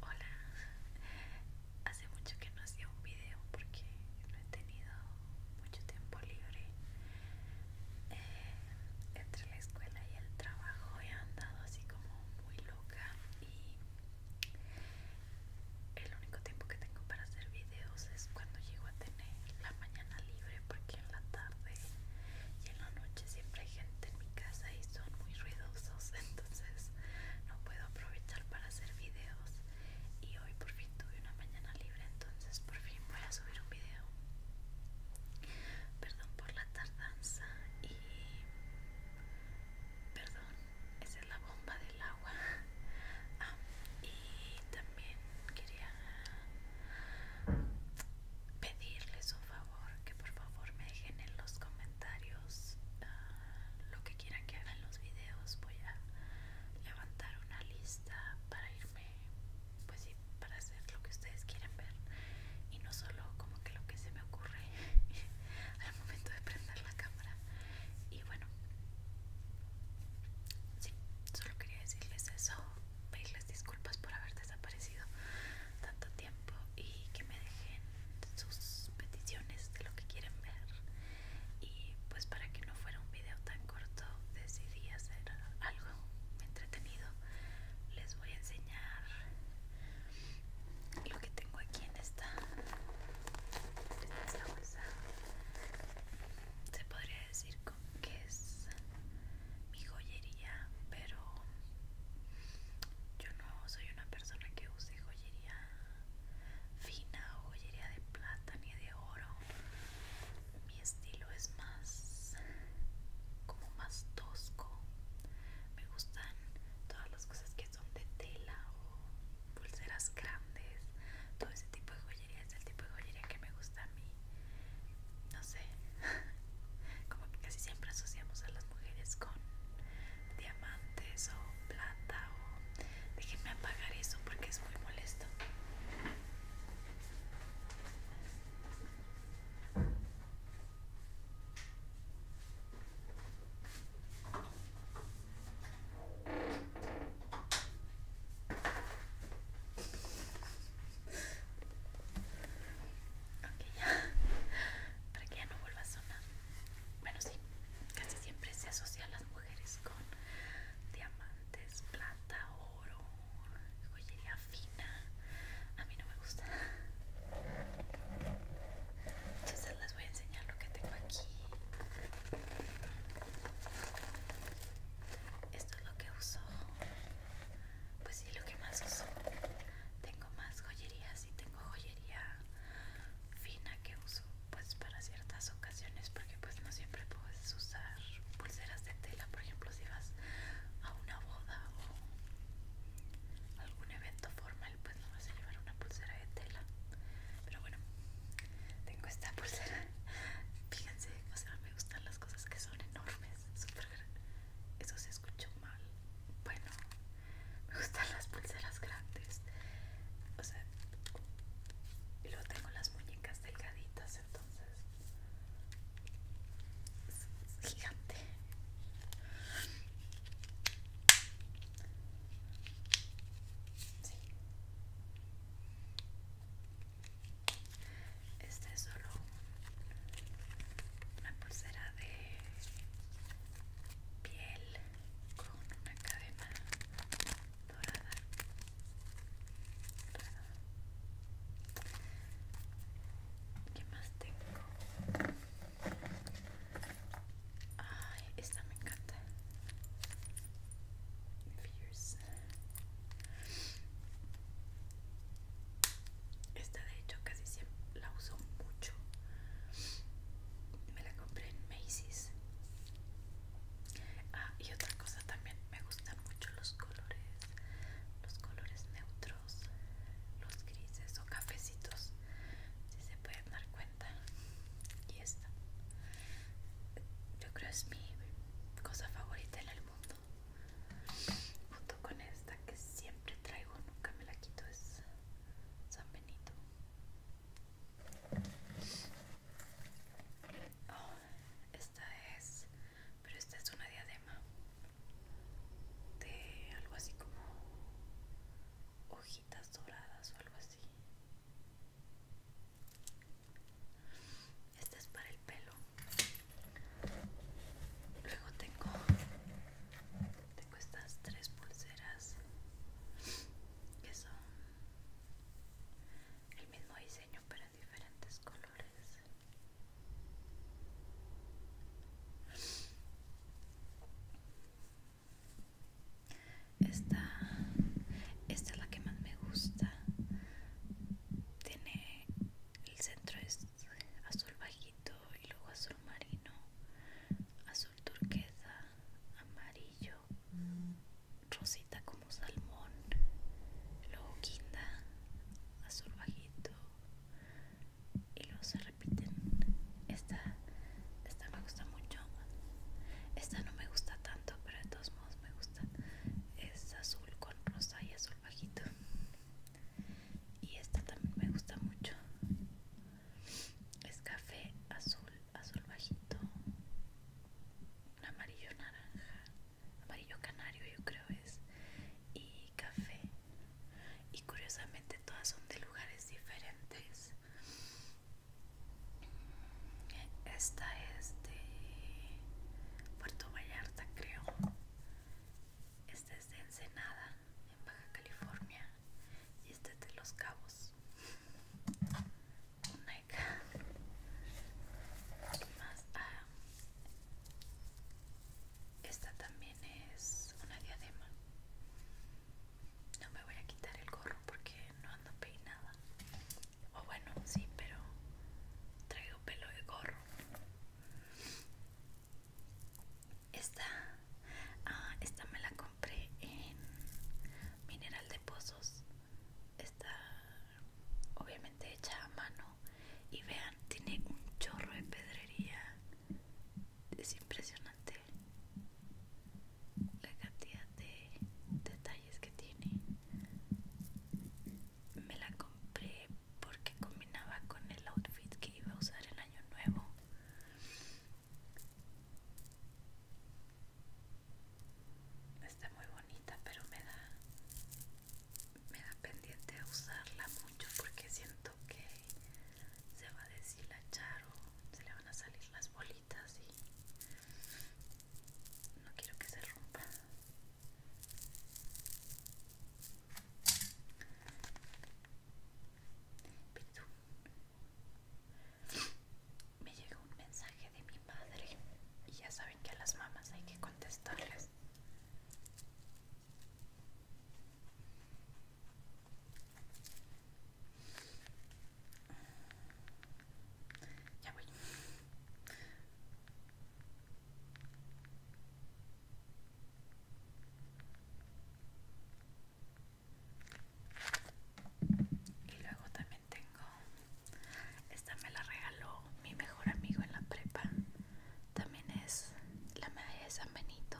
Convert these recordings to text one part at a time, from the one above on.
Hola, hace mucho que no hacía un video porque no he tenido mucho tiempo libre. Eh, entre la escuela y el trabajo he andado así como muy loca y el único tiempo que tengo para hacer videos es cuando llego a tener la mañana libre porque en la tarde y en la noche siempre gente en mi casa y son muy ruidosos, entonces no puedo aprovechar para hacer videos. Y hoy por fin tuve una mañana libre, entonces por fin voy a subir un video. Perdón por la tardanza y... Perdón, esa es la bomba del agua. Ah, y también quería pedirles un favor que por favor me dejen en los comentarios ah, lo que quieran que hagan los videos voy a levantar una lista para irme pues sí para hacer lo que ustedes quieren ver y no solo como que lo que se me ocurre al momento de prender la cámara y bueno sí solo quería decirles eso pedirles disculpas por haber desaparecido tanto tiempo y que me dejen sus peticiones de lo que quieren ver y pues para que no fuera un video tan corto decidí hacer algo entretenido les voy a enseñar lo que tengo aquí en esta, en bolsa se podría decir que es mi joyería pero yo no soy una persona que use joyería fina o joyería de plata ni de oro. Mi estilo es más como más tosco. Me gustan todas las cosas que son de tela o pulseras grandes. Todo ese tipo de joyería es el tipo de joyería que me gusta a mí. No sé, como que casi siempre asociamos a las mujeres con diamantes o plata o déjenme apagar eso porque es muy molesto Ok, ya para que ya no vuelva a sonar. Bueno, sí, casi siempre se asocia a las mujeres con diamantes, plata, oro, joyería fina. A mí no me gusta. Entonces les voy a enseñar lo que tengo aquí. Esto es lo que uso. Pues sí, lo que más uso tengo más joyerías y tengo joyería fina que uso pues para ciertas ocasiones porque pues no siempre puedes usar pulseras de tela por ejemplo si vas a una boda o algún evento formal pues no vas a llevar una pulsera de tela pero bueno tengo esta pulsera fíjense me gustan las cosas que son enormes súper eso se escuchó mal. Bueno, me gustan las pulseras grandes. O sea, y luego tengo las muñecas delgaditas, entonces. Es gigante. Sí. Este es solo una pulsera de piel con una cadena dorada. ¿Qué más tengo? Ay, esta me encanta. Fierce. Esta de hecho casi siempre la uso mucho. Me la compré en Macy's. Ah, y otra cosa también, me gustan mucho los colores, los colores neutros, los grises o cafecitos, si se pueden dar cuenta. Y esta, yo creo es mi cosa favorita en el mundo junto con esta que siempre traigo, nunca me la quito, es San Benito. Ah, esta es, pero esta es una diadema de algo así como hojitas doradas o algo así. Esta es para el pelo. Luego tengo, estas tres pulseras que son el mismo diseño pero en diferentes colores. Esta, esta es la que más me gusta. Tiene el centro es azul bajito y luego azul marino, azul turquesa, amarillo, rosita como salmón, luego guinda azul bajito y luego se repiten. Esta, esta me gusta mucho, esta no me gusta tanto, pero de todos modos me gusta. Es azul con rosa y azul bajito y esta también me gusta mucho es café azul azul bajito amarillo naranja amarillo canario yo creo es y café y curiosamente todas son de lugares diferentes esta es de Puerto Vallarta creo este es de Ensenada, en Baja California. Y este es de Los Cabos. una más? Ah, esta también es una diadema. No me voy a quitar el gorro porque no ando peinada. O bueno, sí, pero traigo pelo de gorro. Esta, ah, esta me la compré en Mineral de Pozos. Está obviamente hecha a mano. Y vean, tiene un chorro de pedrería. Es impresionante la cantidad de detalles que tiene. Me la compré porque combinaba con el outfit que iba a usar el año nuevo. Está muy bonita, pero me da me da pendiente usarla mucho porque siento que se va a deshilachar o se le van a salir las bolitas y no quiero que se rompa. Me llegó un mensaje de mi madre y ya saben que a las mamás hay que contestarles. Ya voy. Y luego también tengo, esta me la regaló mi mejor amigo en la prepa, también es la medalla de San Benito,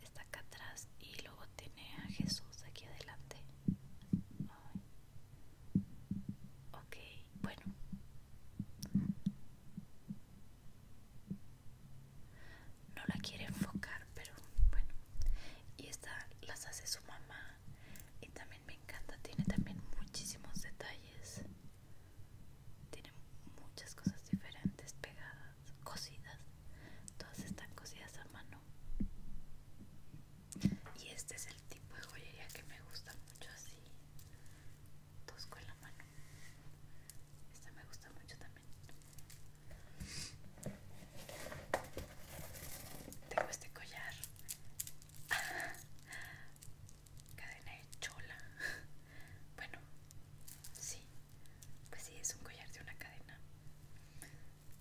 está acá atrás y luego tiene a Jesús aquí adelante. Ok, bueno no la quiere enfocar pero bueno y esta las hace su mamá y también me encanta tiene también muchísimos detalles tiene muchas cosas diferentes pegadas cosidas todas están cosidas a mano y este es el tipo de joyería que me gusta mucho así la mano esta me gusta mucho también. Tengo este collar. Cadena de chola. Bueno, sí. Pues sí, es un collar de una cadena.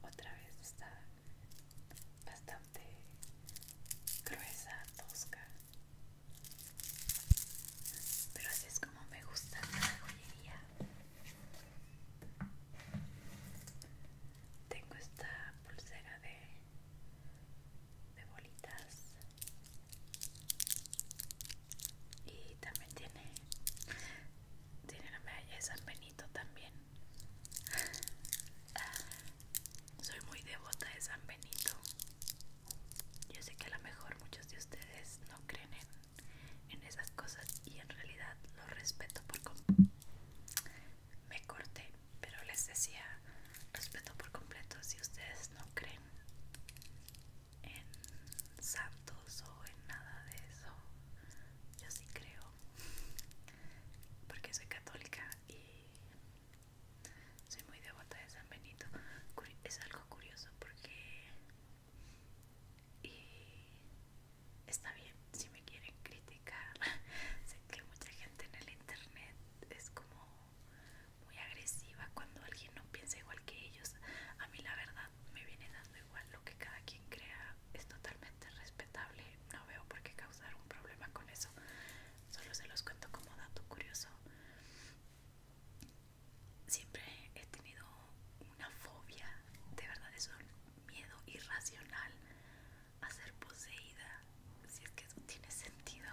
Otra vez está bastante gruesa, tosca. Pero así es como me gusta la joyería. Tengo esta pulsera de, bolitas. Y también tiene, tiene la medalla de San Benito también. Soy muy devota de San Benito. Yo sé que a lo mejor muchos de ustedes no creen en, esas cosas y en realidad lo respeto por completo. Me corté, pero les decía, respeto por completo si ustedes no creen en santos o en nada de eso. Yo sí creo, porque soy católica y soy muy devota de San Benito. Es algo curioso porque está bien si me quieren criticar. sé que mucha gente en el internet es como muy agresiva cuando alguien no piensa igual que ellos. A mí la verdad me viene dando igual lo que cada quien crea. Es totalmente respetable. No veo por qué causar un problema con eso solo se los cuento como dato curioso. Siempre he tenido una fobia, de verdad es un miedo irracional a ser poseída, si es que eso tiene sentido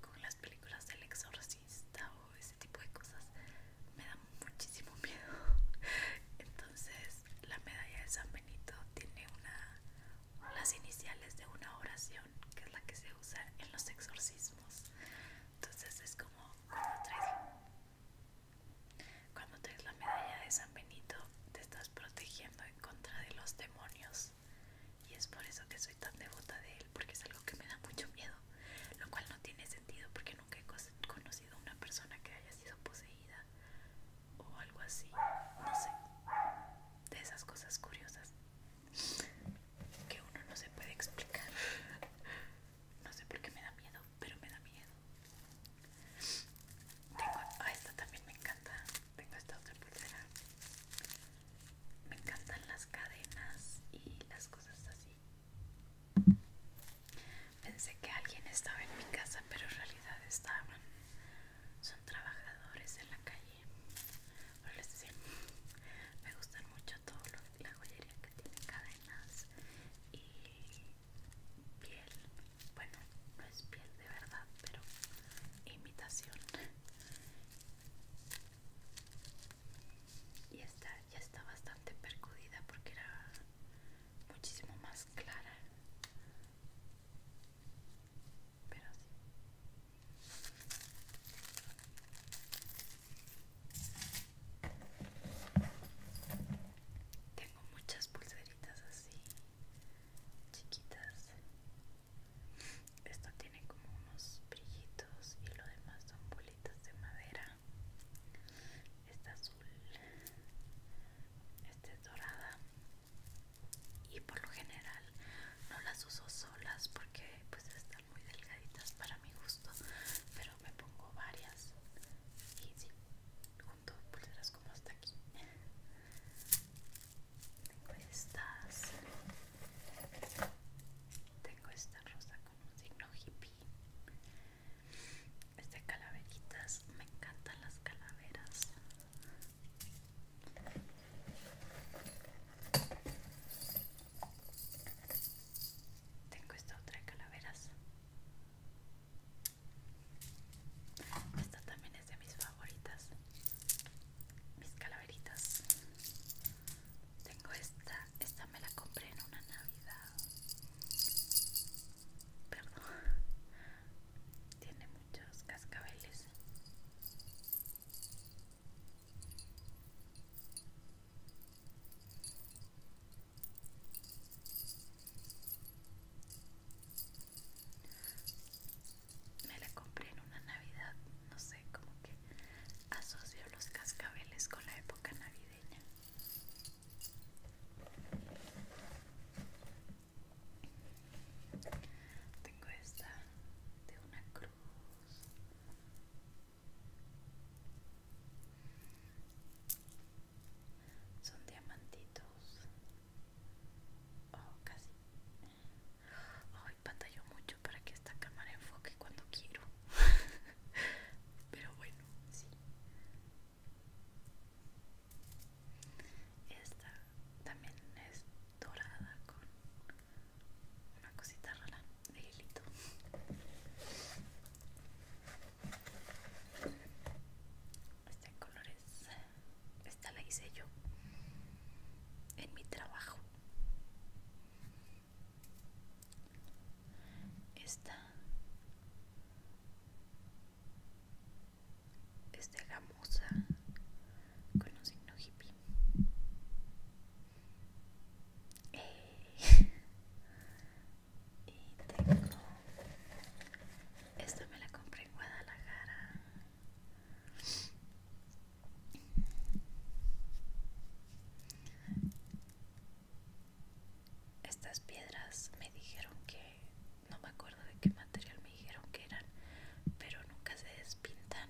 con las películas del exorcista o ese tipo de cosas. Me da muchísimo miedo. Entonces, la medalla de San Benito tiene una las iniciales de una oración que es la que se usa en los exorcismos entonces es como cuando traes, cuando la medalla de San Benito te estás protegiendo en contra de los demonios y es por eso que soy tan devota de él porque es algo que me da mucho miedo lo cual no tiene sentido porque nunca he conocido una persona que haya sido poseída o algo así, no sé, de esas cosas curiosas que uno no se puede explicar. No sé por qué me da miedo, pero me da miedo. Tengo, ah, esta también me encanta. Tengo esta otra pulsera. Me encantan las cadenas y las cosas así. Pensé que alguien estaba en mi casa, pero en realidad estaban. Son trabajadores en la calle me gustan mucho todo lo, la joyería que tiene cadenas y piel, bueno, no es piel de verdad, pero imitación. Y esta ya está bastante percudida porque era muchísimo más clara pero sí tengo muchas pulseritas así chiquitas esto tiene como unos brillitos y lo demás son bolitas de madera esta azul esta es dorada y por lo general no las uso solas porque pues están muy delgaditas para mi gusto pero me pongo varias y sí, junto pulseras como hasta aquí tengo estas tengo esta rosa con un signo hippie este calaveritas me encantan las calaveras tengo esta otra calaveras. Esta también es de mis favoritas. Mis calaveritas. Tengo esta. Esta me la compré en una Navidad. Perdón. Tiene muchos cascabeles. Me la compré en una Navidad, no sé, como que asocio los cascabeles con la época navideña. Tengo esta de una cruz. Son diamantitos. Oh, casi. Ay, pantalló mucho para que esta cámara enfoque cuando quiero. Pero bueno, sí. Esta también es dorada con una cosita rara de hilito este color colores esta la hice yo en mi trabajo esta es de con un signo hippie. Eh, y tengo. Esta me la compré en Guadalajara. Estas piedras me dijeron que no me acuerdo de qué material me dijeron que eran, pero nunca se despintan.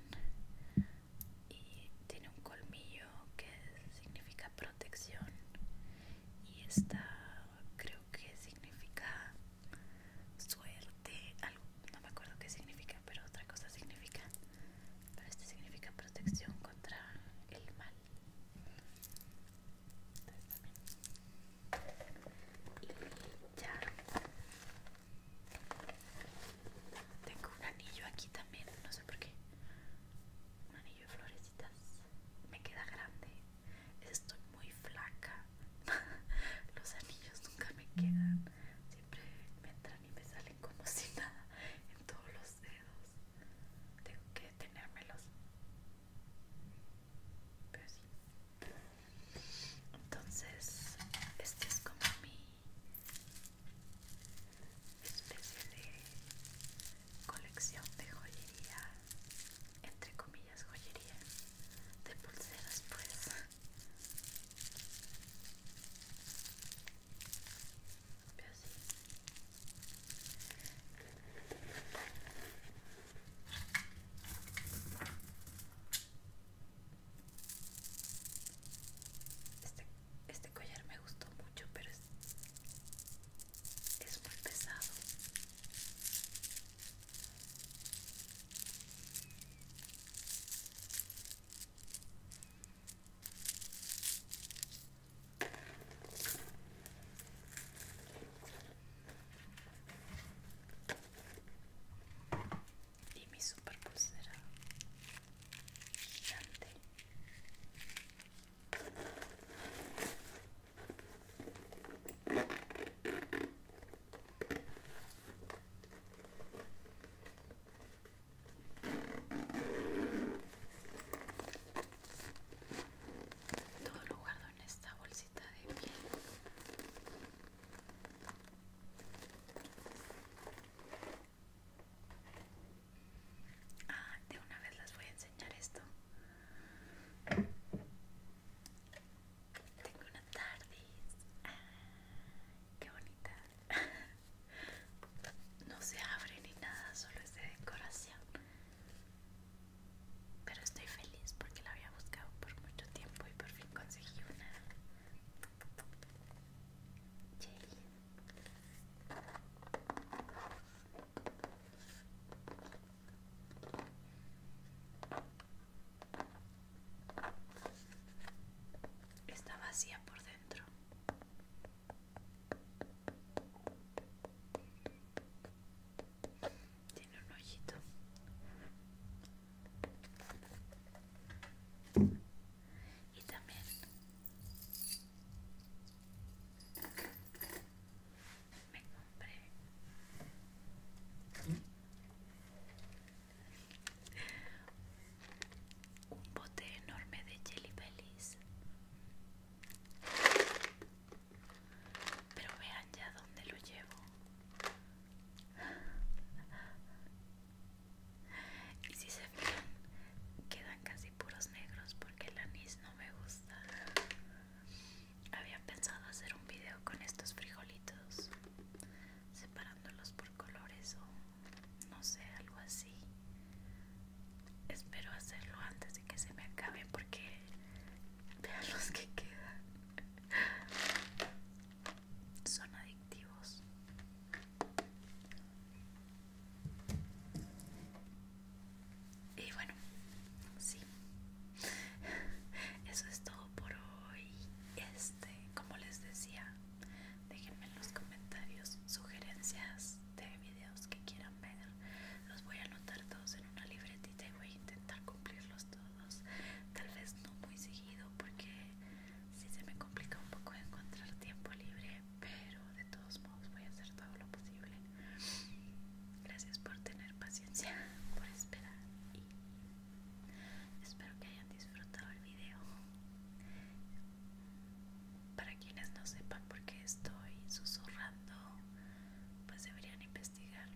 Y tiene un colmillo que significa protección. Y esta creo que significa suerte, algo, no me acuerdo qué significa, pero otra cosa significa. Pero este significa protección contra el mal. y ya tengo un anillo aquí también, no sé por qué. Un anillo de florecitas. Me queda grande. Estoy muy flaca. Los anillos nunca me quedan. Siempre me entran y me salen como si nada en todos los dedos. Tengo que detenérmelos. Pero sí entonces este es como mi especie de colección de joyería entre comillas joyería de pulseras pues este, este, collar me gustó mucho, pero es muy pesado y mi super pulsera gigante todo lo guardo en esta bolsita de piel Ah, de una vez les voy a enseñar esto. Tengo una TARDIS. Ah, qué bonita. No se abre ni nada, solo es de decoración. Pero estoy feliz porque la había buscado por mucho tiempo y por fin conseguí una. Está vacía por dentro. Tiene un hoyito y también me compré un bote enorme de jelly bellies pero vean ya dónde lo llevo y si se fijan, quedan casi puros negros porque el anís no me gusta. Había pensado hacer un video con estos frijolitos, separándolos por colores o no sé, algo así. Espero hacerlo antes de que se me acabe porque vean los que quedan son adictivos. Y bueno, sí. Eso es todo por hoy. Este, como les decía, déjenme en los comentarios sugerencias de videos que quieran ver. Los voy a anotar todos en una libretita y voy a intentar cumplirlos tal vez no muy seguido porque si se me complica un poco encontrar tiempo libre pero de todos modos voy a hacer todo lo posible gracias por tener paciencia por esperar y espero que hayan disfrutado el video para quienes no sepan por qué estoy susurrando pues deberían investigar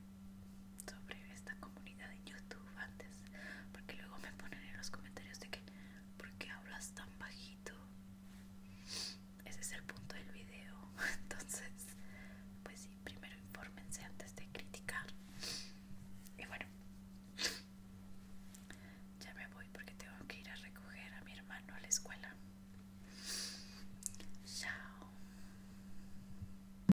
sobre esta comunidad en YouTube antes, porque luego me ponen en los comentarios de que, ¿por qué hablas tan bajito? Ese es el punto del video. Entonces, pues sí, primero infórmense antes de criticar. Y bueno, ya me voy porque tengo que ir a recoger a mi hermano a la escuela. Chao.